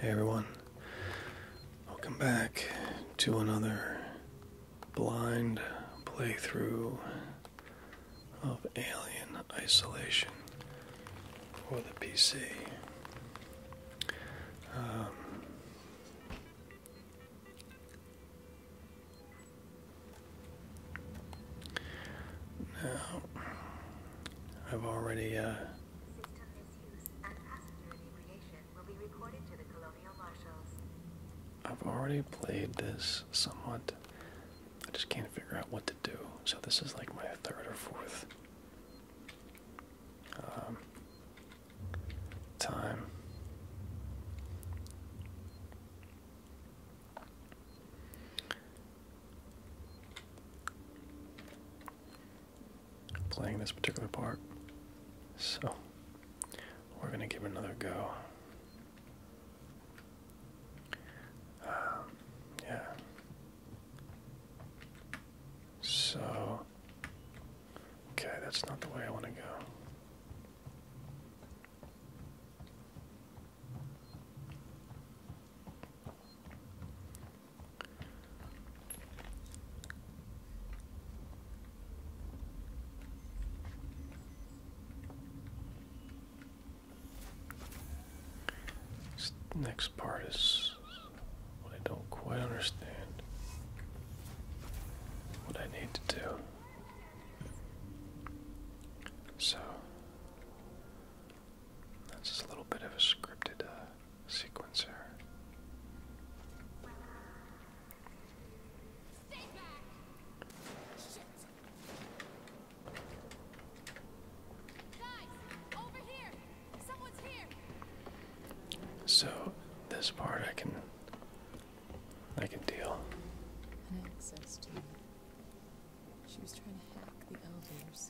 Hey everyone, welcome back to another blind playthrough of Alien Isolation for the PC. Um, now, I've already uh, I've already played this somewhat. I just can't figure out what to do. So this is like my third or fourth um, time playing this particular part. So we're going to give another go. Um, yeah. So, okay, that's not the way I want to go. This next part is what I don't quite understand. What I need to do. So, that's just a little bit of a scripted uh, sequence here. So this part I can I can deal. She was trying to hack the elevators.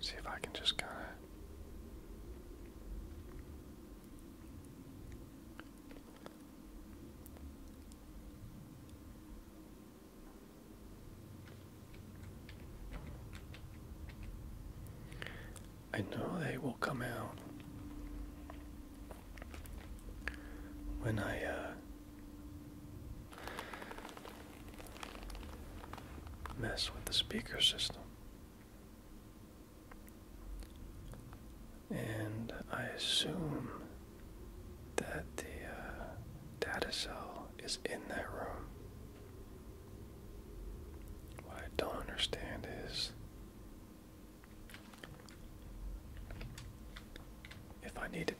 See if I can just kind of I know they will come out when I uh, mess with the speaker system. And I assume that the uh, data cell is in that room. What I don't understand is if I need to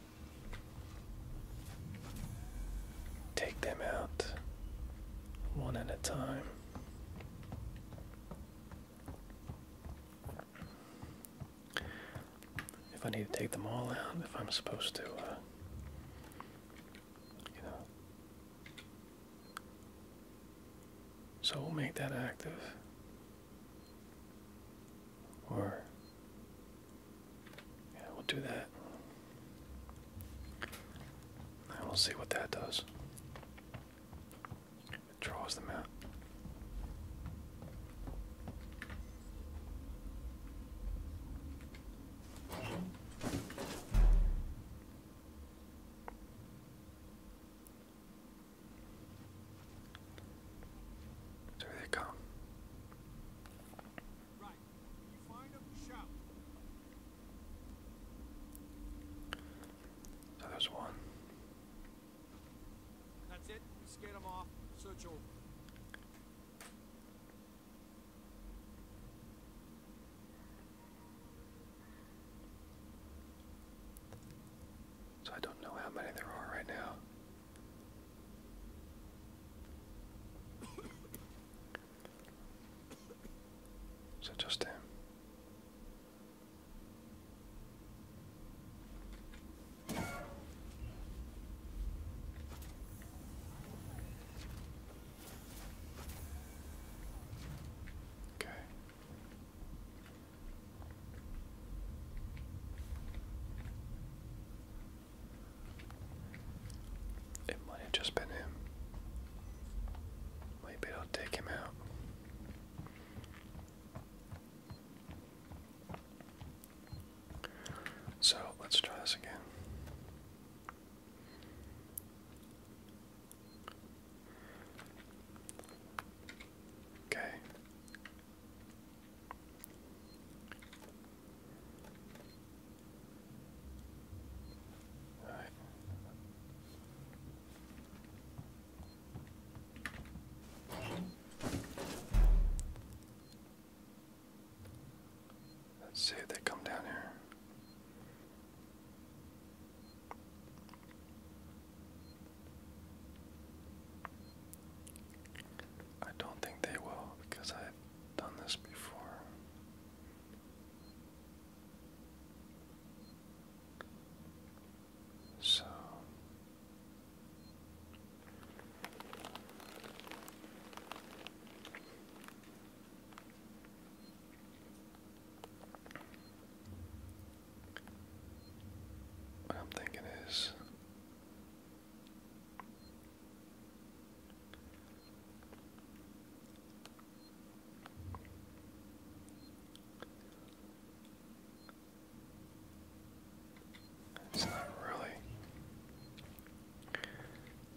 take them out one at a time. If I need to take them all out, if I'm supposed to, uh, you know, so we'll make that active. Or, yeah, we'll do that. we'll see what that does. It draws them out. So they come. Right. You find them, shout. So there's one. That's it. We scared them off. Search over. So I don't know how many there are right now. So just him. Okay. It might have just been him. Maybe it'll take him out. So let's try this again. Okay. right. Let's see if they come down here. I don't think they will because I've done this before. So what I'm thinking is it's not really.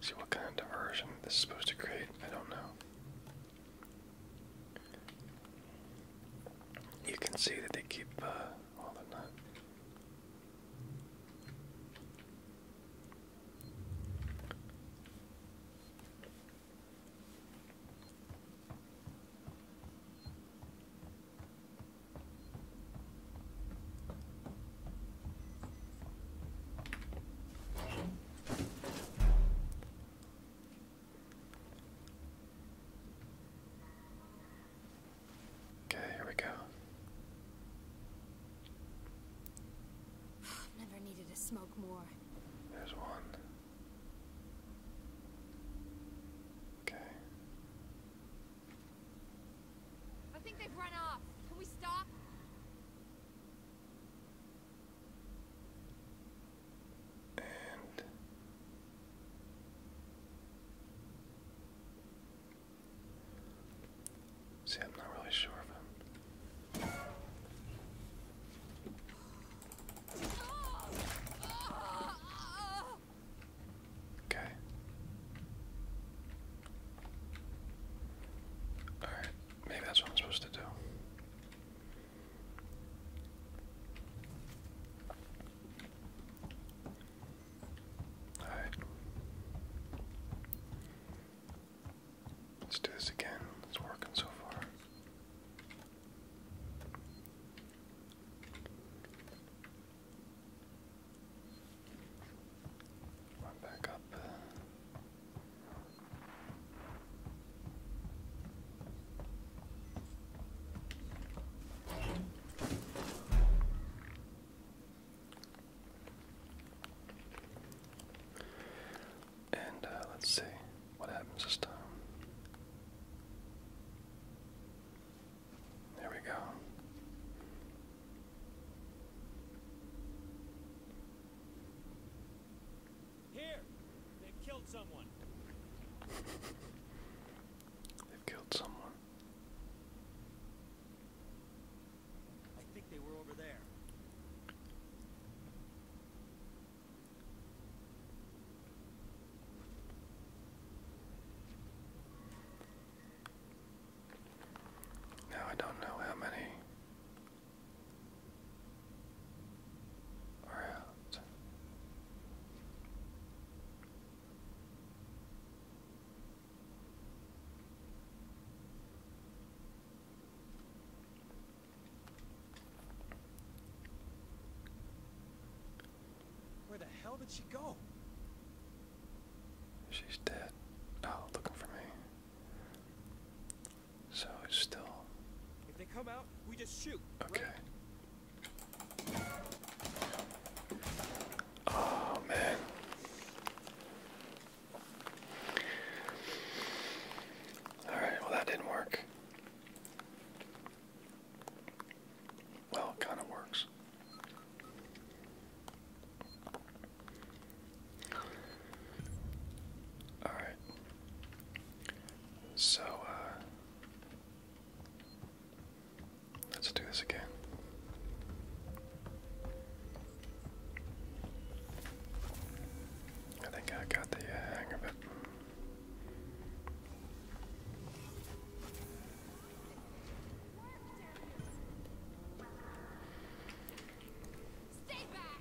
See what kind of diversion this is supposed to create? I don't know. You can see that they keep, uh, well, they Okay, here we go. Never needed to smoke more. There's one. Okay. I think they've run off. Can we stop? see, I'm not really sure of him. Okay. Alright, maybe that's what I'm supposed to do right. Let's do this again. It's working so far. back up. Uh, and uh, let's see what happens this time. There we go. Here! they killed someone. they killed someone. I think they were over there. Now I don't know how many where the hell did she go? She's dead. Oh, looking for me. So it's still. If they come out, we just shoot. Okay. Oh man. Alright, well that didn't work. Well, it kind of works. Alright. So, uh. Let's do this again. I think I got the uh, hang of it.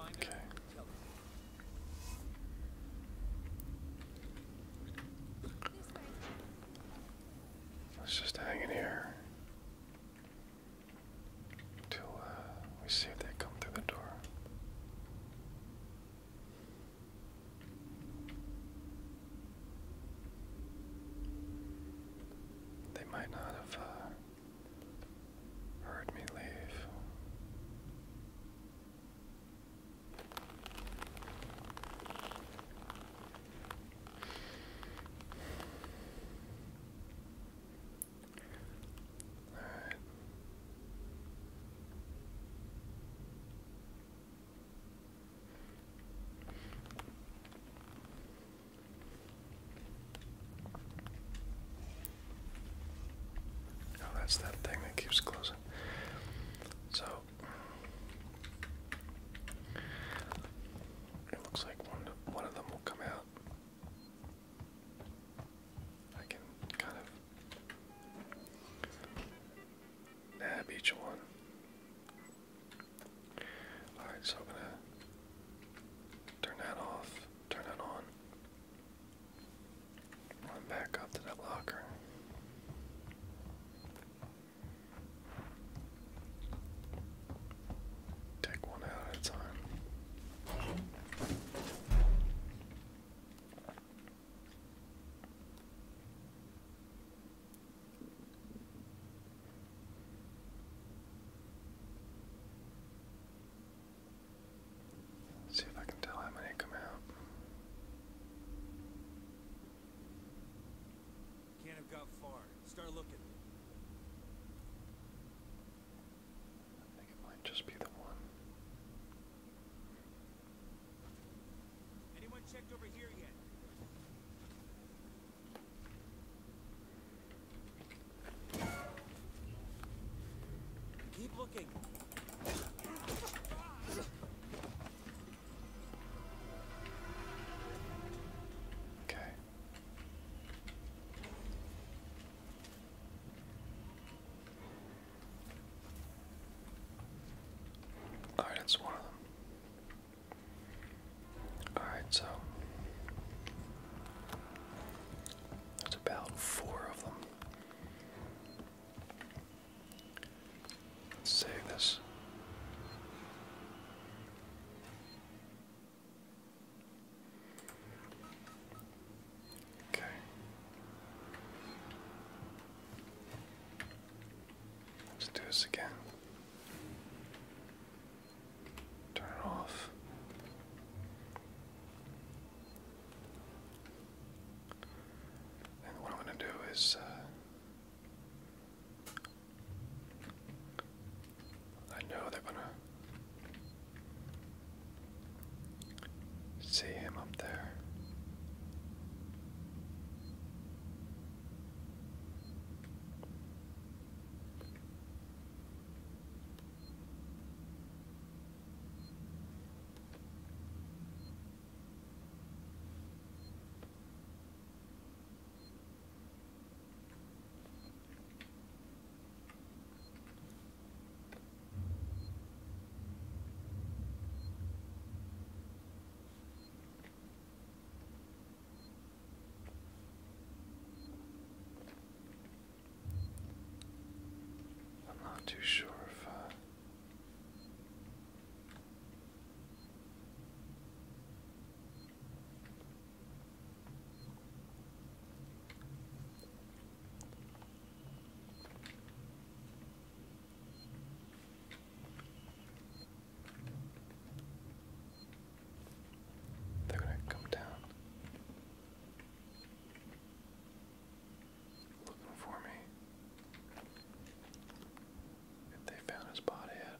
Okay. Let's just hang in here until uh, we see if they come through the door. They might not have uh, heard me leave. All right. Oh, that's that thing that keeps closing. So it looks like one of them will come out. I can kind of Nab each one. Alright, so I'm gonna turn that off, turn that on. Run back up to that locker. Take one out at a time see if I can tell how many come out. Can't have got far. Start looking. I think it might just be the one. Anyone checked over here yet? Keep looking. Okay. Alright, that's one Alright, so there's about four of them. Let's save this. Okay. Let's do this again. Turn it off. And what I'm going to do is uh, I know they're going to See him up there. I'm not too sure if uh, they're going to come down. Looking for me. If they found his body yet.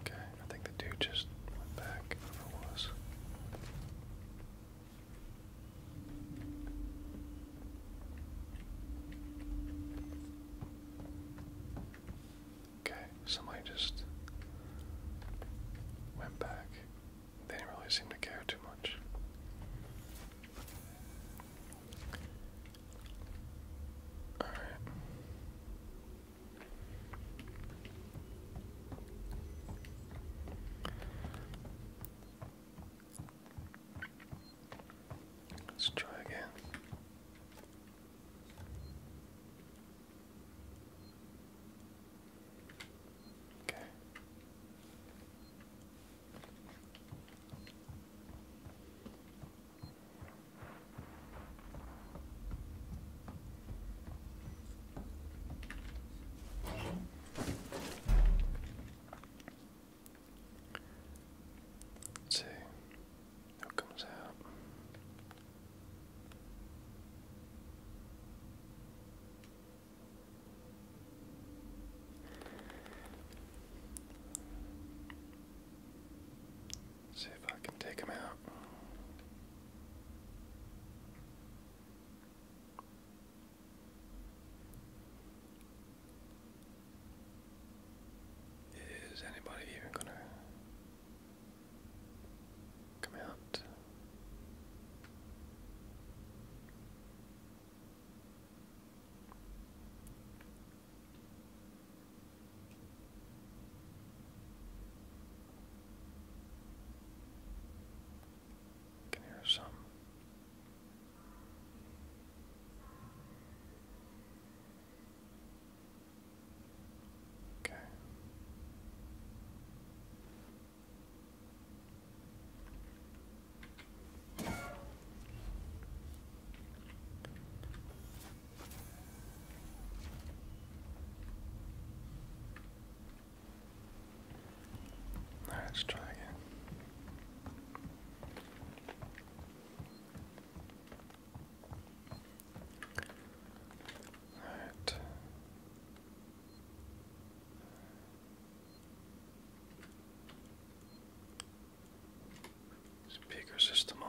Okay, I think the dude just went back, whoever it was. Okay, somebody just went back they really seem to care too much. Alright. Let's try again. Okay. Let's see who comes out. See if I can take him out. Is anybody even gonna come out? I Can hear some. Okay. Let's try again. All right. Speaker system on.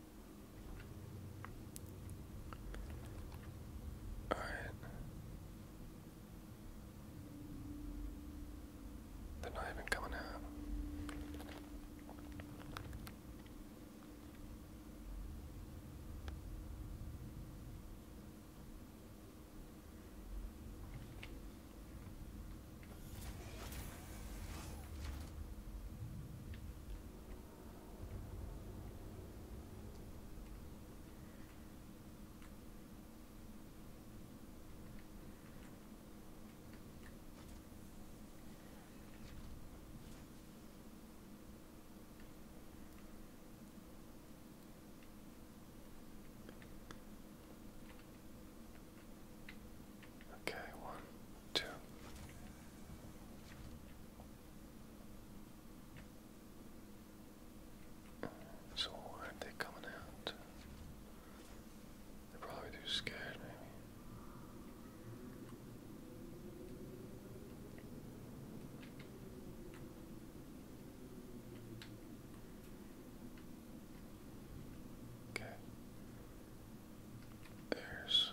All right. They're not even coming out. Okay, one, two. So why are they coming out? They're probably too scared, maybe. Okay. There's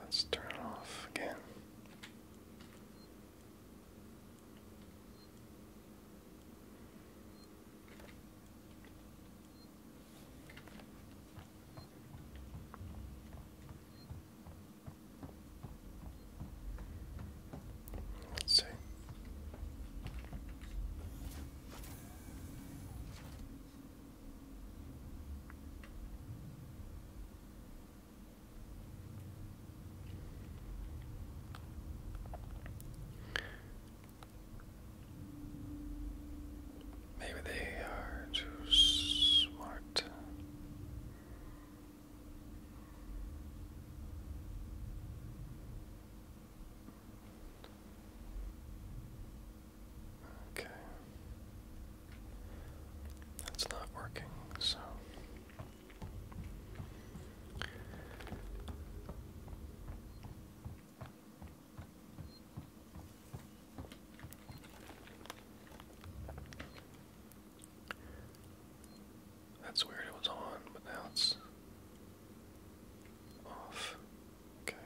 Let's turn it off again. Let's see. Maybe they are too smart. Okay. That's not working, so. That's weird, it was on, but now it's off. Okay.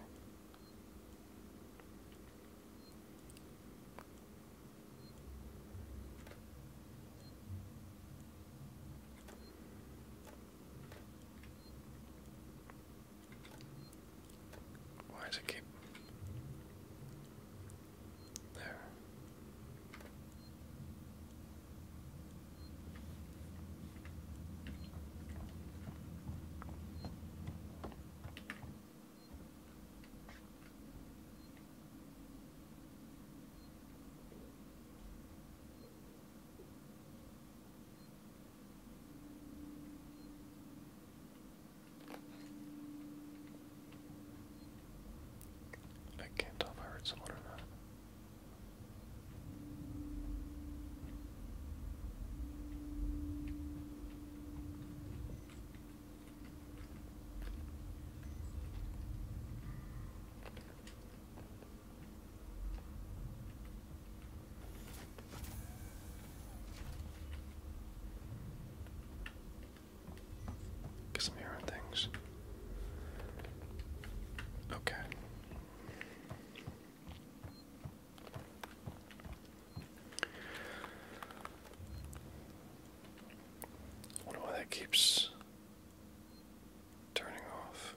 Why does it keep there? I can't tell if I heard someone or not. Guess i things. Okay wonder why that keeps turning off.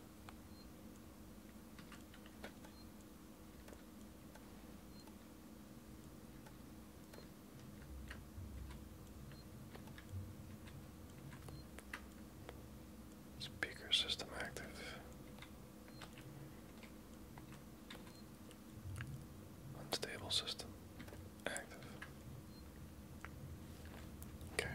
Speaker system active. Unstable system active. Okay.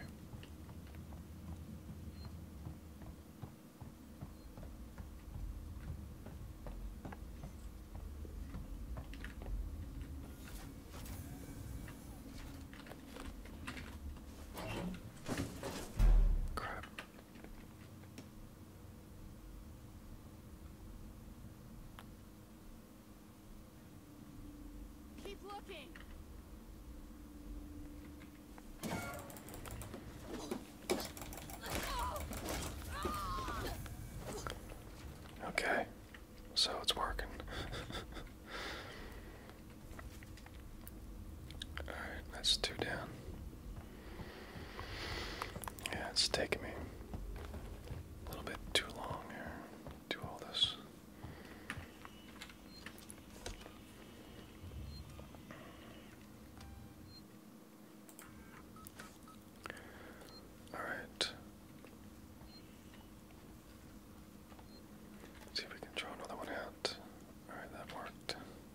Crap. Keep looking. Okay, so it's working. Alright, that's two down. Yeah, it's taking me a little bit too long here to do all this. All see if we can draw another one out. All right, that worked.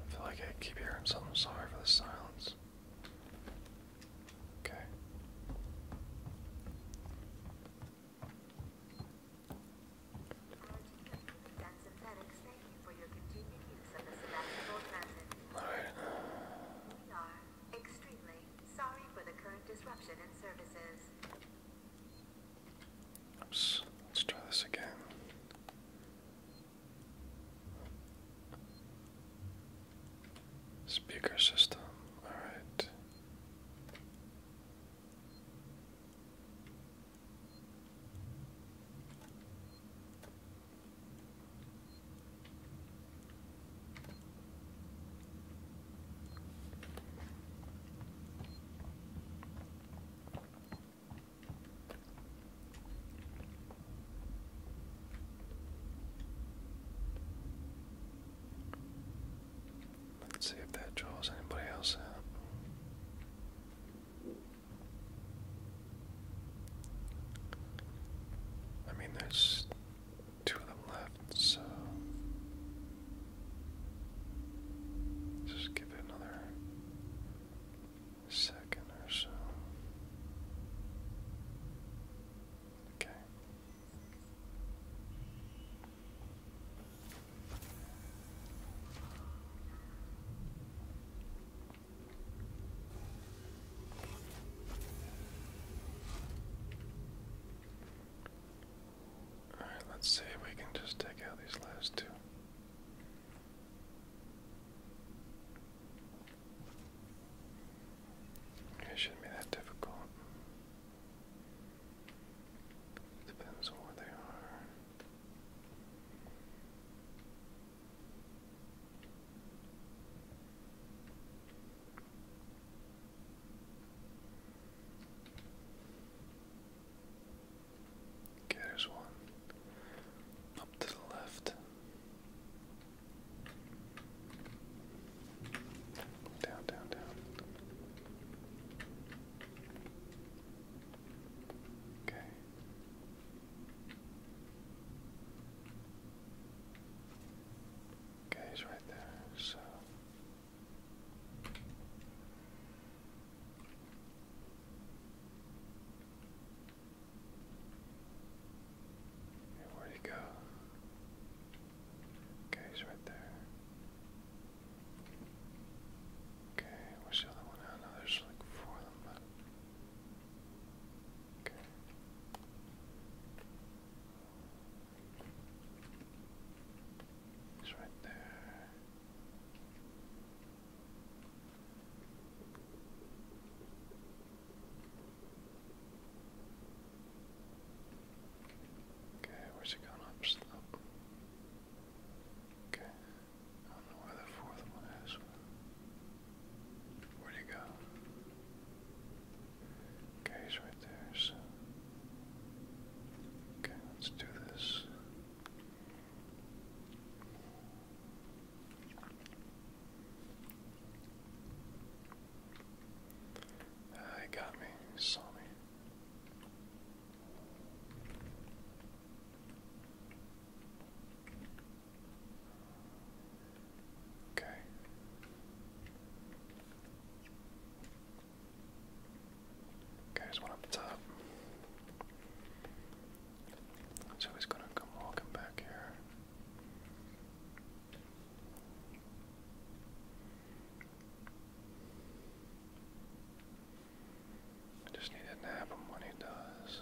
I feel like I keep hearing something. Sorry for the silence. Okay. Alright. We are extremely sorry for the current disruption in services let's try this again. Speaker system, alright. Let's see if that draws anybody else out. I mean, there's two of them left, so just give it another second or so. Okay. All right, let's see we can just take out these last two. It shouldn't be that difficult. Depends on where they are there's one up to the left. Down, down, down. Okay. Okay, he's right there, so where'd he go? Okay, he's right there. Okay, where's the other one? I know, there's like four of them, Okay. He's right there. Okay, where's it going up slope? Okay. I don't know where the fourth one is. Where'd he go? Okay, he's right there, so. Okay, let's do this. I ah, got me. saw me. Okay. Goes one up top. So he's gonna come walking back here. I just need to nab him when he does.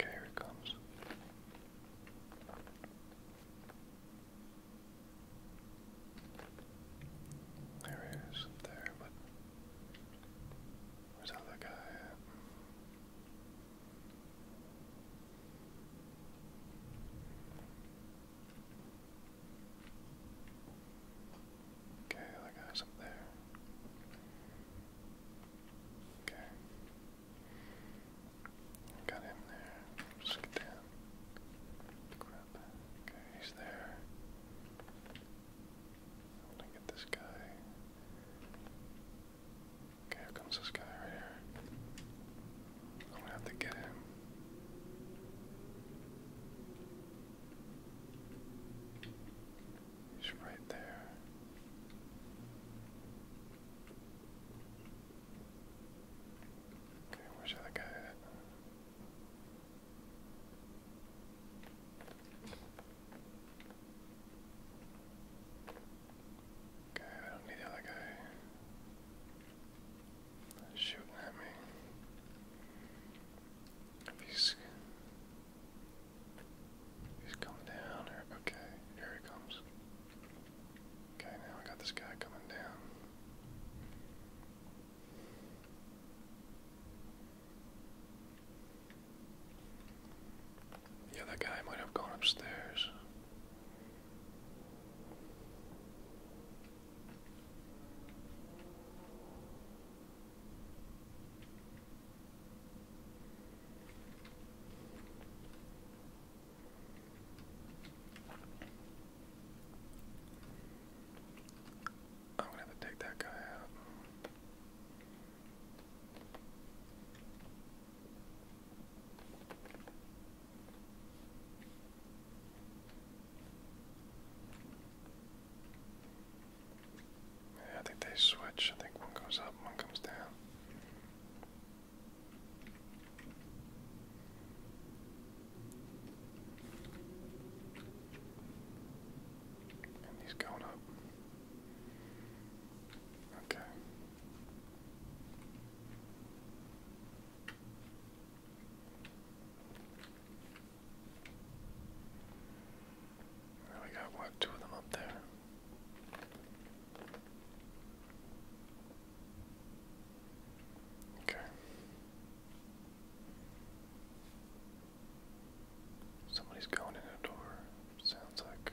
Okay, here it comes. There there, but where's other guy Okay, that guy's up there. Okay. Got him there. Just get down. Okay, he's there. I'm to get this guy. Okay, here comes this guy right here i have to get him. He's right there. Okay, where's the other guy Okay, I don't need the other guy shooting at me. he's, he's coming down, or okay, here he comes. Okay, now I got this guy coming down. The other guy might have gone upstairs. I'm gonna have to take that guy out. I think they switch. I think one goes up, one comes down. he's going up. Okay. We got two of them up there? Okay. Somebody's going in a door, sounds like.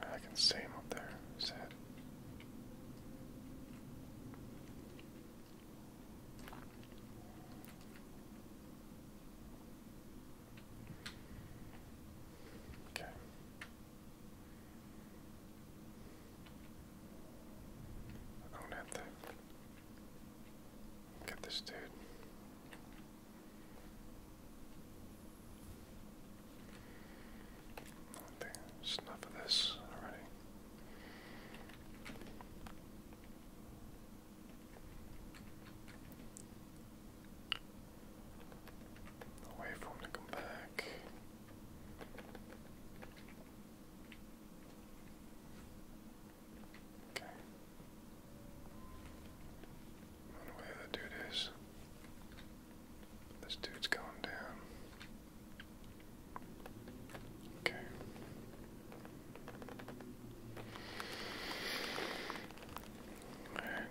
I can see him up there, his Okay. I don't get this dude. I enough of this already. No for him to come back. Okay. Where the dude is. This dude's going down. Okay. Alright.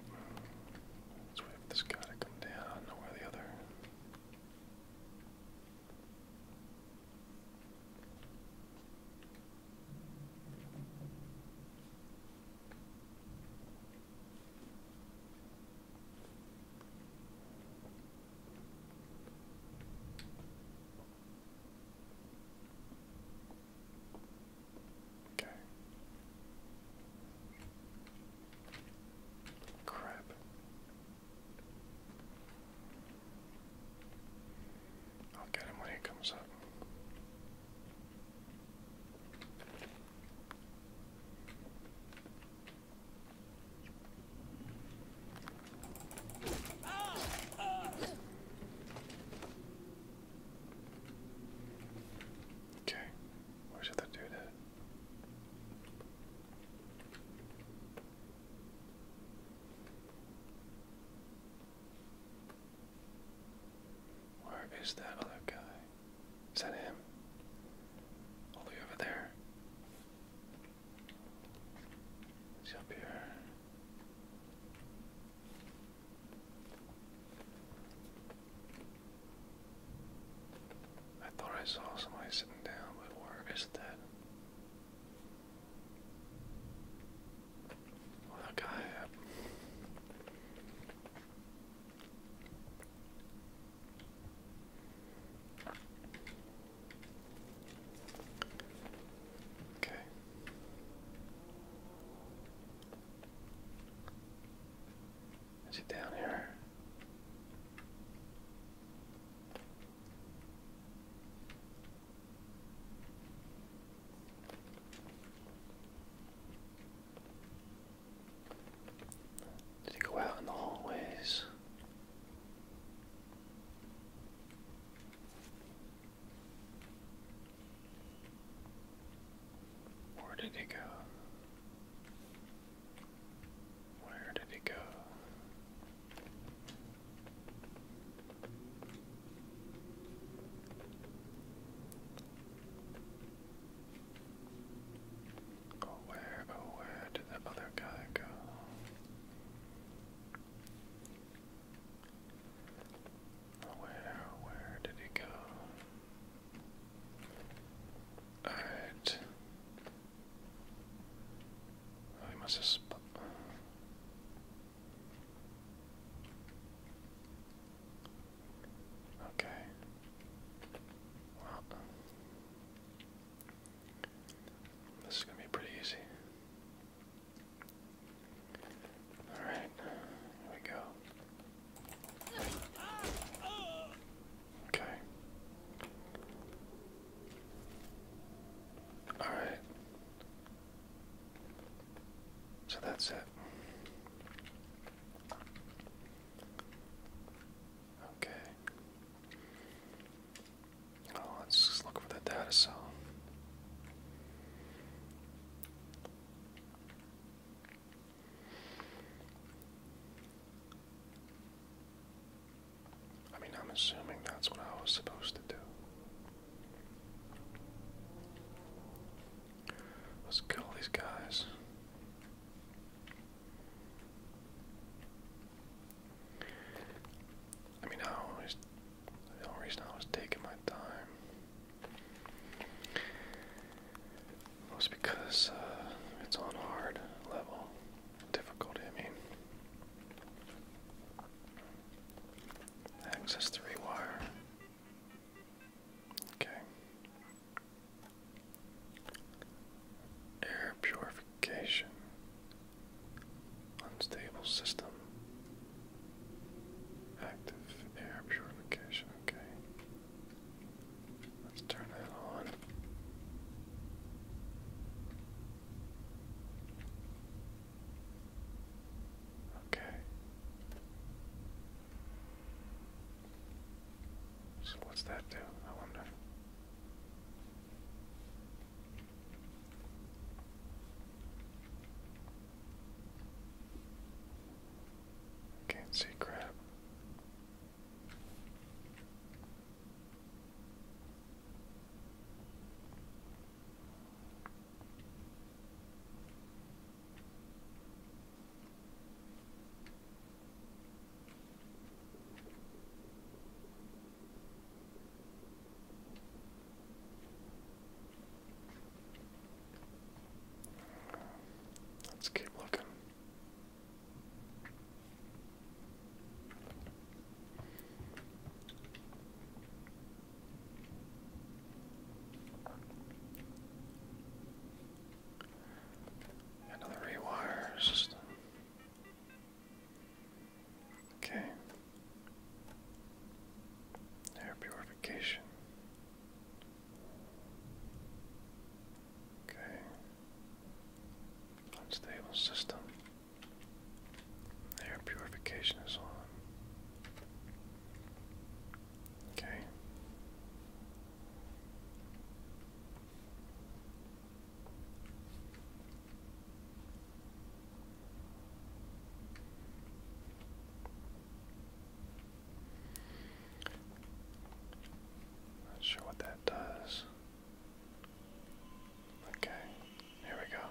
Let's wait for this guy to come down. I do the other. Okay. Crap. I'll get him when he comes up. Okay, where should that dude where is that other guy? Is that him? All over there. Is he up here? I thought I saw somebody sitting down, but where is that? Well, that guy. Uh, Okay. Is he down here? Did he go out in the hallways? Where did he go? Where did he go? Oh, where, where did the other guy go? where, oh, where did he go? Alright. Oh, must have. Sp Okay. Well, this is going to be pretty easy. Alright, here we go. Okay. Alright. So that's it. Okay. Oh, let's look for the data cell. I mean, I'm assuming that's what I was supposed to do. Let's kill these guys. I mean, I always, the only reason I was taking my time was because uh, it's on hard level difficulty. I mean, access three wire. Okay. Air purification. Unstable system. Active air purification. Okay. Let's turn that on. Okay. So what's that do? I wonder. Can't see crap. Let's keep looking. Another rewire Okay. Air purification. Okay. Unstable system. Air purification is on. Okay. Not sure what that does. Okay, here we go.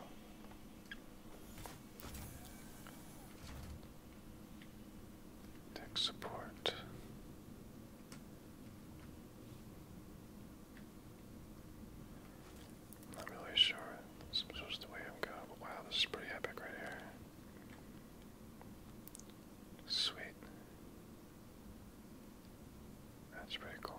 Tech support. Not really sure. This is the way I'm going, but wow, this is pretty epic right here. Sweet. That's pretty cool.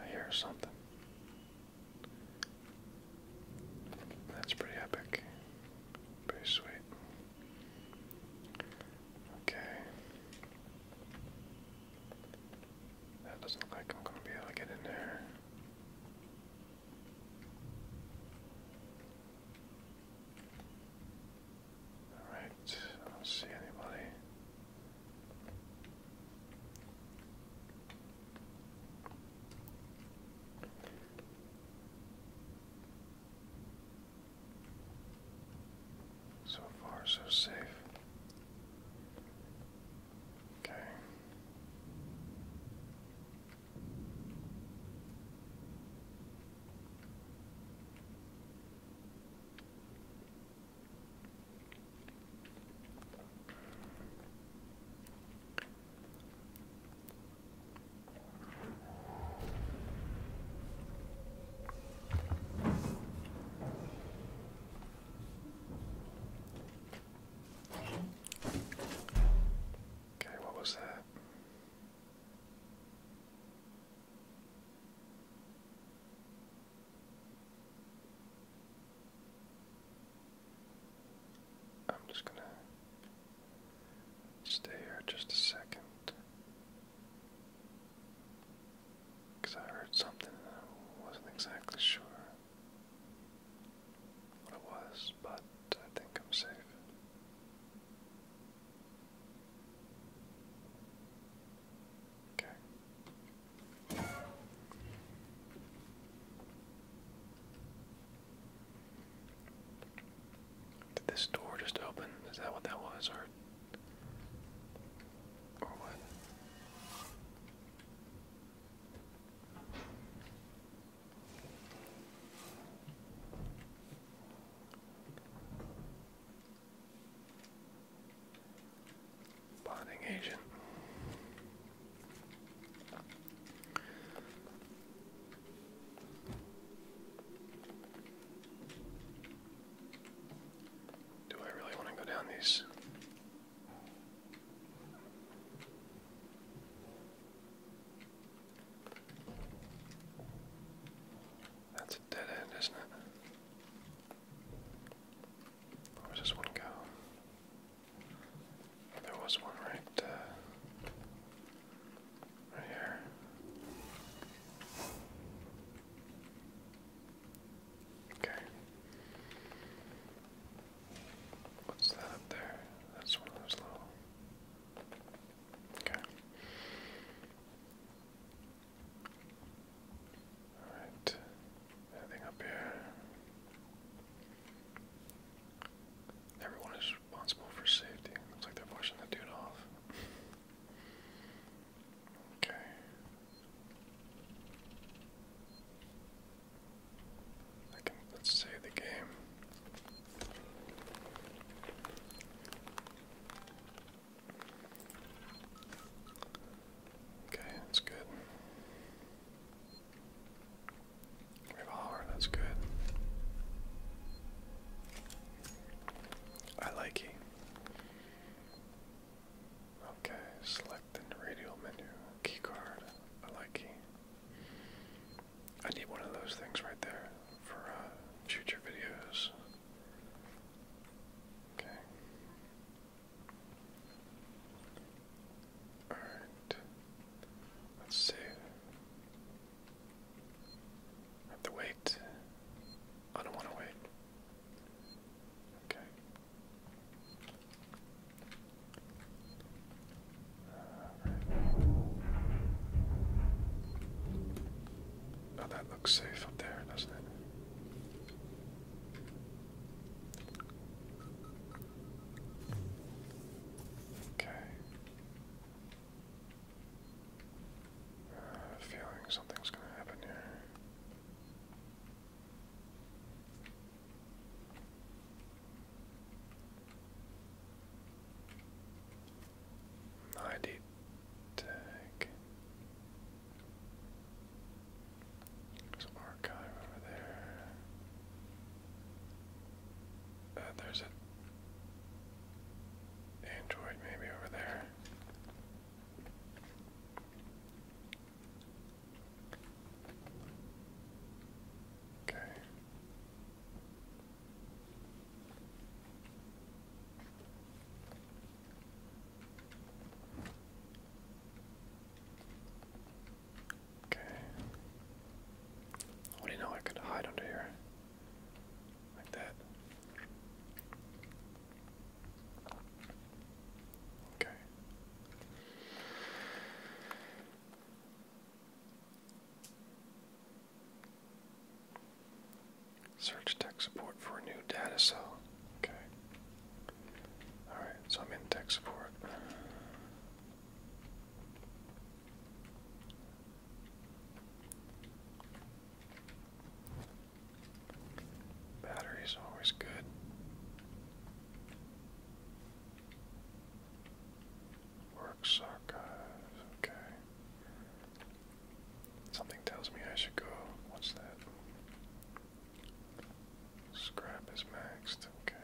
I hear something. That's pretty epic. Pretty sweet. Okay. That doesn't look like I'm going to be able to get in there. Alright, I don't see anybody. So far, so safe. Okay. Okay, what was that? I'm just going to stay here just a second. I heard something and I wasn't exactly sure what it was, but I think I'm safe. Did this door just open? Is that what that was, or or what? Bonding agent. Do I really want to go down these? That's a dead end, isn't it? Where does one go? there was one right, uh, right here. Okay. What's that there? That's one of those little Okay. Alright. Anything up here? Everyone is responsible for safety. Looks like they're pushing the dude off. Okay. let's save the game. Okay, that's good. Revolver, that's good. I like it. Okay, select the radial menu. Keycard. I like it. I need one of those things right there for uh, future videos. Okay. Alright. Let's see. I have to wait. I don't want to wait. Okay. Oh, that looks safe up there, doesn't it? Okay. Uh, feeling something's gonna happen here. ID tag. Some archive over there. Uh, there's an Android maybe over there. Okay. Okay. What do you know? I could hide under here. Like that. Okay. Search tech support for a new data cell. Okay. Alright, so I'm in tech support. Battery's always good. Works archive, okay. Something tells me I should go. What's that? Scrap is maxed, okay.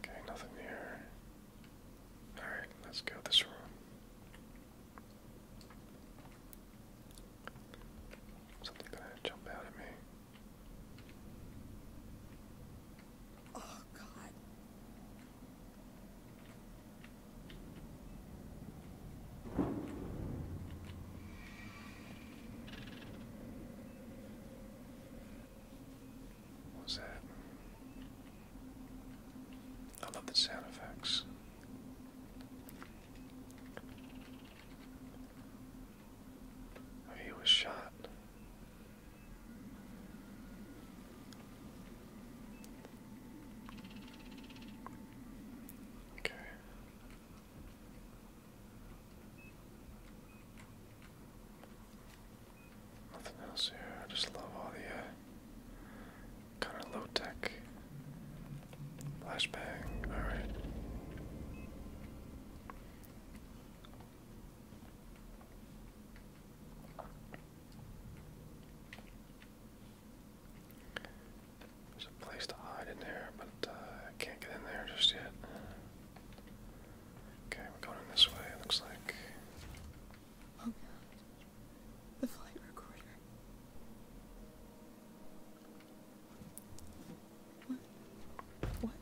Okay, nothing here. Alright, let's go this room. Something gonna jump out at me. Oh, God. What was that? I love the sound effects. Oh, he was shot. Okay. Nothing else here. I just love all the uh, kind of low tech flashbang. All right. There's place to hide in there, but uh, I can't get in there just yet. Okay, we're going this way, it looks like. Oh, the flight recorder. What? What?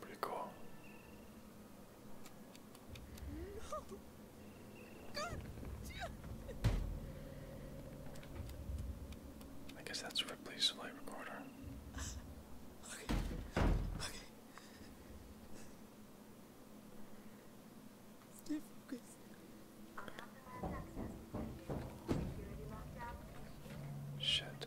Pretty cool. I guess that's Ripley's light recorder. Okay. Okay. Stay focused. Shit.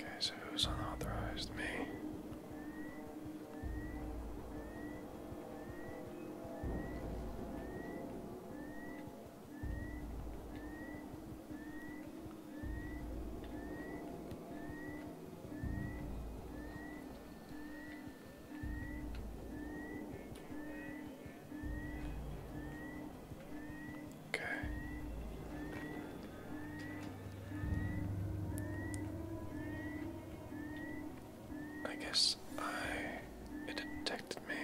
Okay, so who's unauthorized? Me. Okay. I guess I it detected me.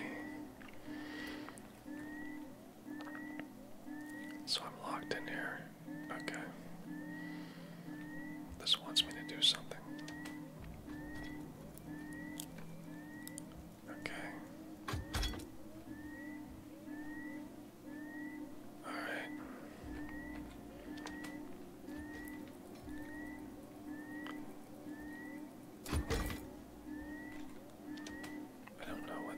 So I'm locked in here. Okay. This wants me to do something. Okay. All right. I don't know what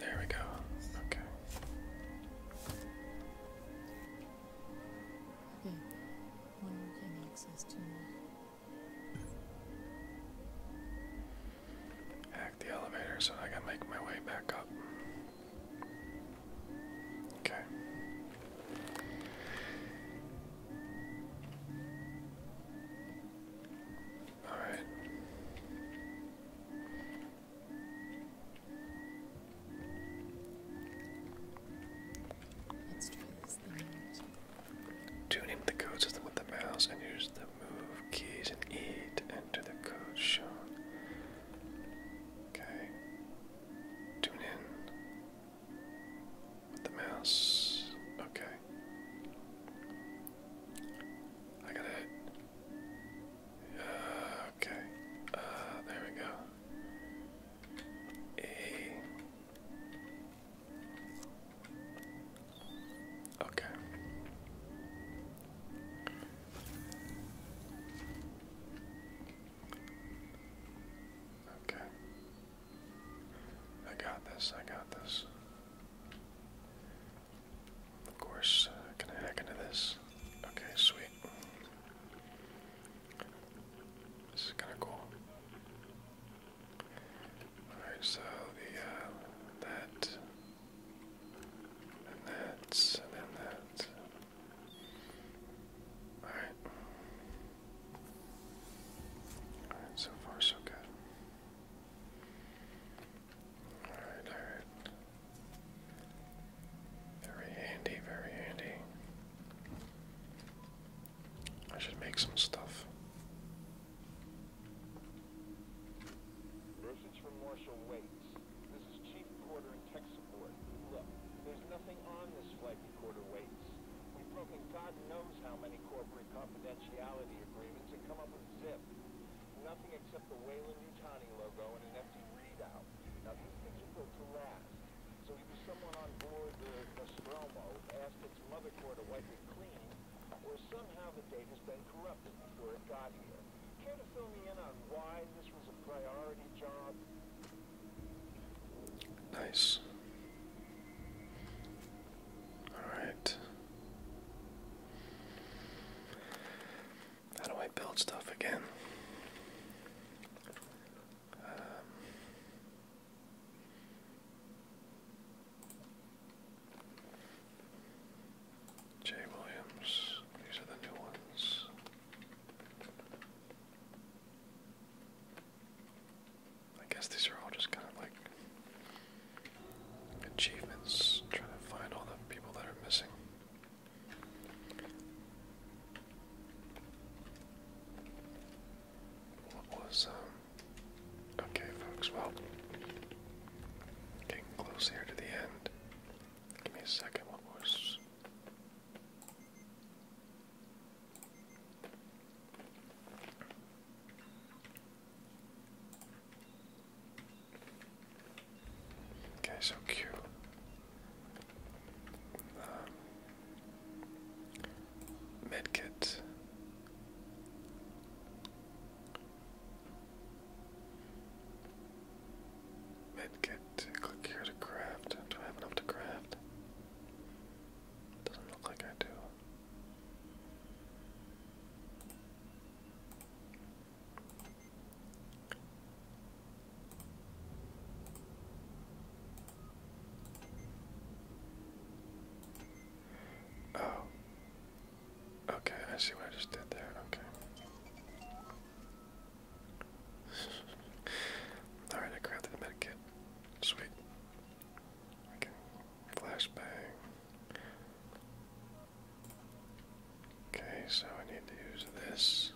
there we go. Okay. Good. Hmm. One more can access two Hack the elevator so I can make my way back up. Okay. All right. Let's try this thing Tune into the codes with the mouse and use the move keys and E to enter the code shown. Okay. Tune in. The mouse. Okay. I got it. Uh, okay. Uh, there we go. A. Okay. Okay. I got this, I got this. Of course, can uh, I hack into this? Okay, sweet. This is kind of cool. Alright, so the, uh, that, and that, and then that. Alright. Alright, so far so good. Alright, Very handy, very handy. I should make some stuff. Message from Marshal Waits. This is Chief Porter in tech support. Look, there's nothing on this flight quarter weights. We've broken God knows how many corporate confidentiality agreements and come up with zip. Nothing except the Wayland-Utani logo and an empty readout. Now, these things are built to last. So either someone on board the Nostromo asked its mother core to wipe it clean, or somehow the data's been corrupted before it got here. Care to fill me in on why this was a priority job? Nice. All right. How do I build stuff again? Um, Williams, these are the new ones. I guess these are all just kind of like achievements, trying to find all the people that are missing. What was, um, okay, folks, well, getting close to the end. Give me a second, what was. Okay, so cute. Um, medkit. Medkit. Click here to craft. Do I have enough to craft? Doesn't look like I do. Oh. Okay, I see what I just did there. Okay. Alright, I crafted a medkit. Sweet flashbang. Okay, so I need to use this.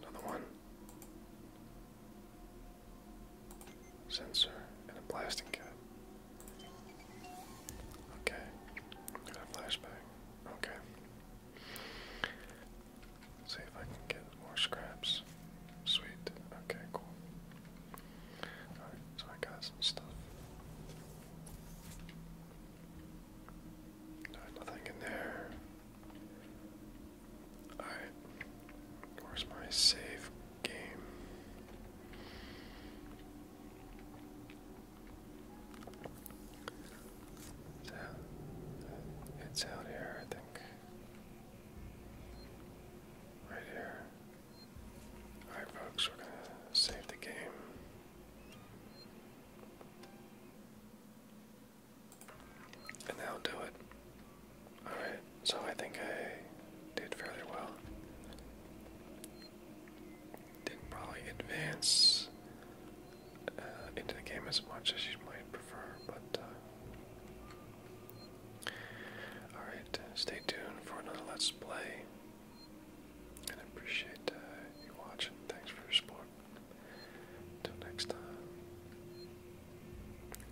Another one. Sensor and a blasting cap. Okay. Got a flashbang. Okay. See if I can get more scraps. Sweet. Okay, cool. Alright, so I got some stuff. nothing in there. Alright. Where's my save game? It's out, it's out here, I think. Right here. Alright, folks, we're gonna save the game. And that do it. Alright, so I think I did fairly well. Didn't probably advance uh, into the game as much as you might prefer, but uh, Alright, uh, stay tuned for another Let's Play. And appreciate uh, you watching. Thanks for your support. Until next time,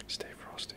stay frosty.